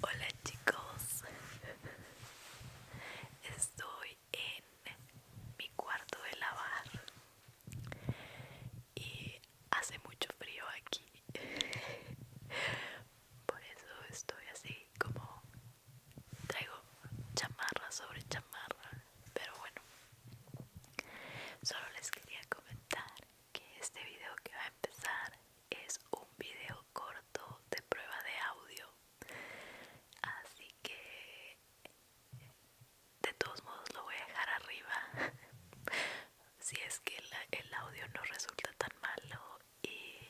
Hola chicos, estoy en mi cuarto de lavar y hace mucho frío aquí, por eso estoy así como traigo chamarra sobre chamarra, pero bueno, solo les quería comentar que este video que va a empezar es un video corto de prueba de audio así que de todos modos lo voy a dejar arriba si es que el audio no resulta tan malo y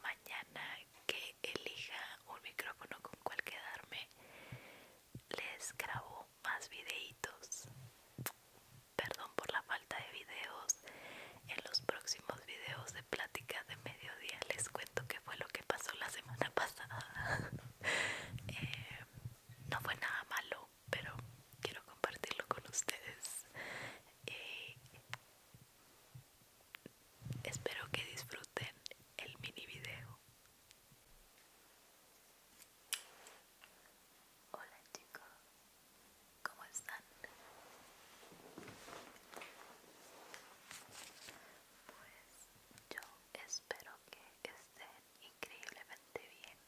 mañana que elija un micrófono con cual quedarme les grabo más videitos Perdón por la falta de videos. En los próximos videos de plática de mediodía les cuento qué fue lo que pasó la semana pasada. Eh, no fue nada malo, pero quiero compartirlo con ustedes. Eh, espero que disfruten el mini video. Hola chicos, ¿cómo están? Pues yo espero que estén increíblemente bien.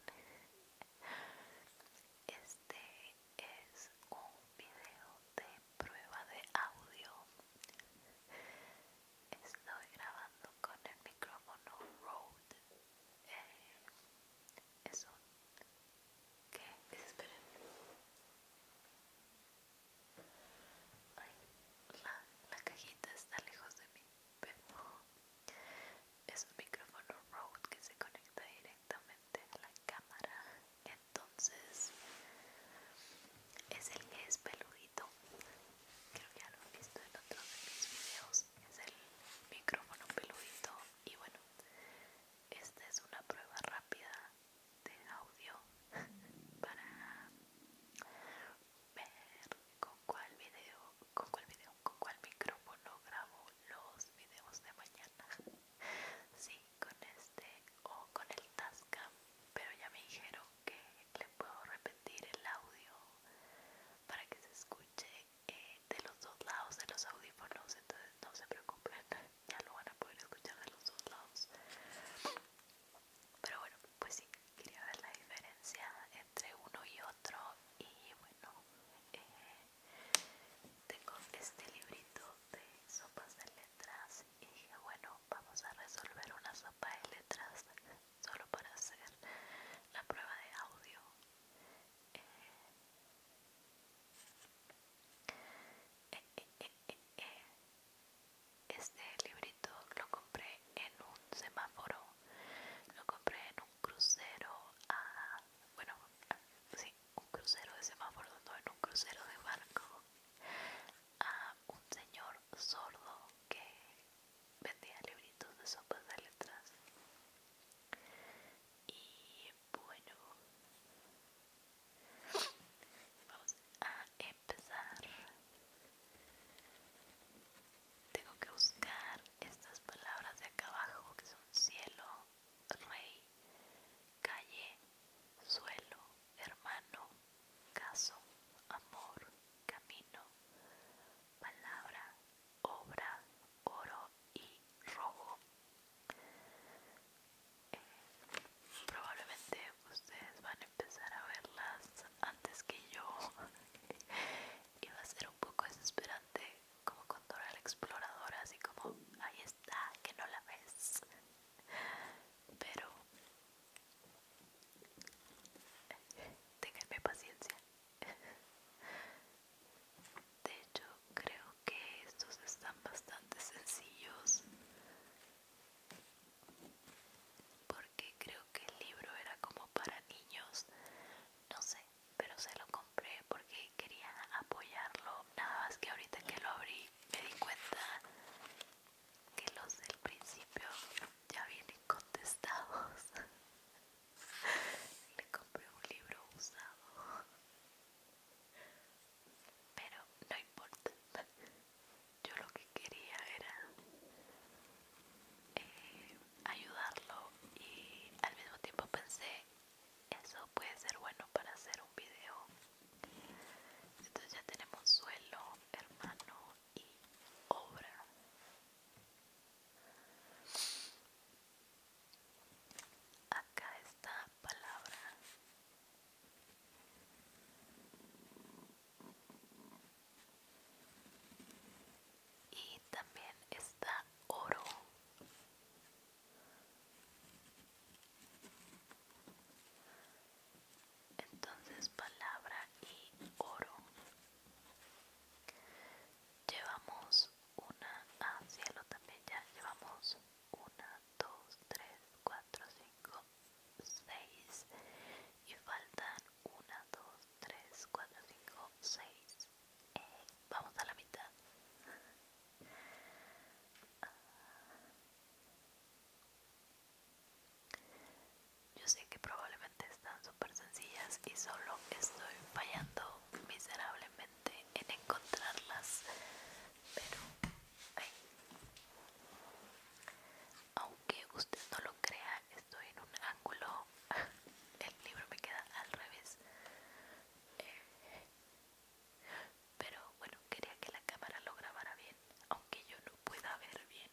Este es un video de prueba de audio. Estoy grabando con el micrófono Rode eh, es un ¿Qué? Desesperen. Ay, la, la cajita está lejos de mí, pero es un micrófono Rode que se conecta directamente a la cámara. Entonces, es el que es peludito. Creo que ya lo han visto en otro de mis videos es el micrófono peludito y bueno esta es una prueba rápida de audio para ver con cuál video con cuál video con cuál micrófono grabo los videos de mañana sí con este o con el Tascam pero ya me dijeron que le puedo repetir el audio para que se escuche eh, de los dos lados de los audífonos, entonces no se preocupen, ya lo van a poder escuchar de los dos lados. Pero bueno, pues sí, quería ver la diferencia entre uno y otro y bueno, eh, tengo este librito de sopas de letras y dije bueno, vamos a resolver una sopa de letras solo para hacer la prueba de audio este librito lo compré en un semáforo, lo compré en un crucero, a, bueno, sí, un crucero de semáforo, no en un crucero de barco, a un señor sordo que vendía libritos de sopas de letras. Y bueno, vamos a empezar. Tengo que buscar estas palabras de acá abajo que son cielo, rey, calle, suelo, hermano, caso, amor, camino, palabra, obra, oro y rojo. Eh, probablemente ustedes van a empezar a verlas antes que yo y va a ser un poco desesperante como con Dora la exploradora así como ahí está que no la ves pero eh, tenganme paciencia de hecho, creo que estos están bastante sencillos. Porque creo que el libro era como para niños. No sé, pero se lo compré porque quería apoyarlo. Nada más que ahorita que lo abrí me di cuenta que los del principio ya vienen contestados. Le compré un libro usado. Pero no importa. Yo lo que quería era eh, ayudarlo y al mismo tiempo pensé, eso puede ser bueno para hacer un video. Entonces ya tenemos suelo, hermano y obra acá está palabra y también está oro entonces palabra y oro llevamos una a ah, cielo también ya llevamos una dos tres cuatro cinco seis y faltan una dos tres cuatro cinco seis eh, vamos a la mitad ah. yo sé que probablemente están súper sencillas y solo estoy fallando miserablemente en encontrarlas, pero aunque usted no lo crea, estoy en un ángulo, el libro me queda al revés. pero bueno, quería que la cámara lo grabara bien, aunque yo no pueda ver bien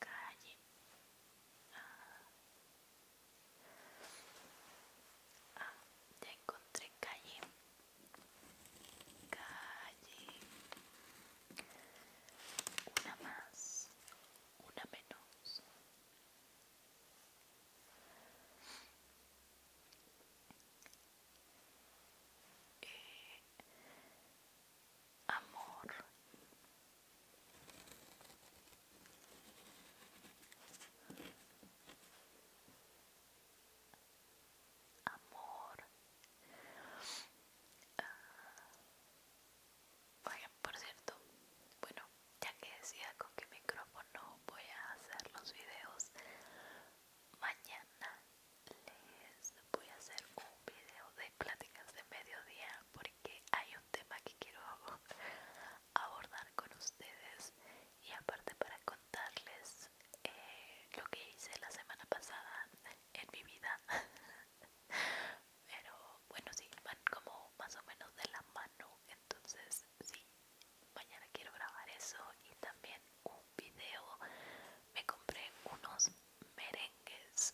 calle ah, ya encontré calle calle una más una menos amor amor vaya ah, por cierto bueno ya que decía con qué micrófono voy a hacer los videos mañana les voy a hacer un video de pláticas de mediodía porque hay un tema que quiero abordar con ustedes y aparte para contarles eh, lo que hice la semana pasada en mi vida pero bueno sí van como más o menos de la mano entonces sí mañana quiero grabar eso y también un video me compré unos merengues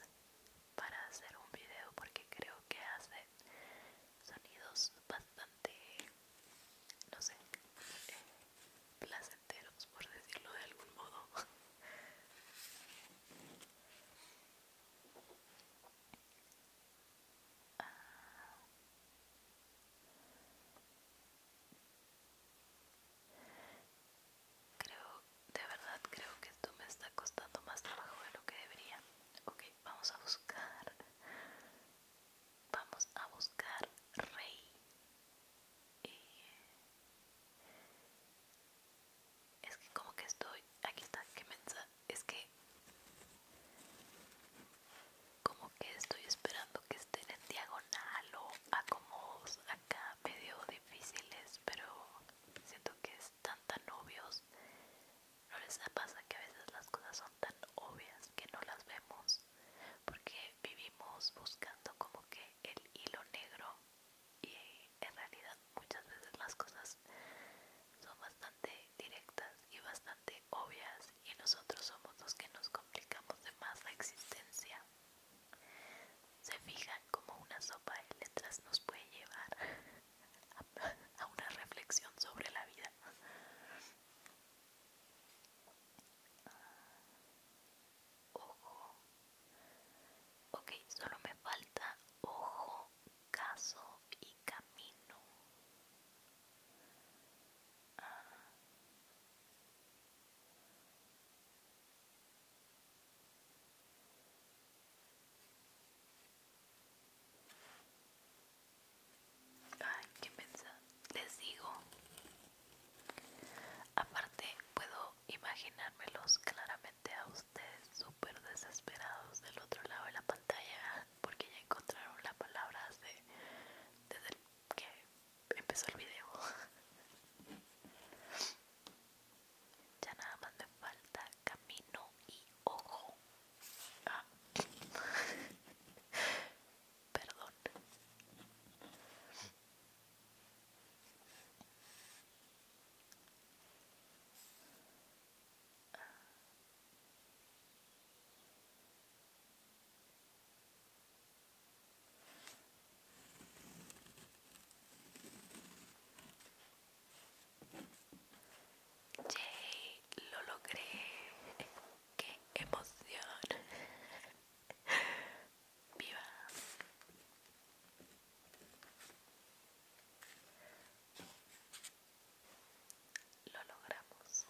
para hacer un video porque creo que hace sonidos bastante no sé eh, placenteros por decirlo de algún modo ah. Creo, de verdad creo que esto me está costando más trabajo de lo que debería. Ok, vamos a buscar. Vamos a buscar rey. Eh, es que como que estoy... Aquí está, que mensa. Es que... Como que estoy esperando que estén en diagonal o acomodos acá medio difíciles, pero siento que están tan obvios. ¿No les pasa que a veces las cosas son tan obvias que no las vemos? Porque vivimos buscando como que el hilo negro y eh, en realidad muchas veces las cosas son bastante directas y bastante obvias y nosotros somos los que nos complicamos de más la existencia se fijan como una sopa de letras nos puede llevar a una reflexión sobre la vida. Ojo. Ok, solo me falta ojo, caso y camino. Ah. Ay, qué mensaje les digo. Aparte, puedo imaginármelos claramente a ustedes súper desesperados del otro lado de la pantalla porque ya encontraron la palabra de, desde que empezó el video. ya nada más me falta camino y ojo. Ah. Perdón jay lo logré. Qué emoción. Viva. Lo logramos.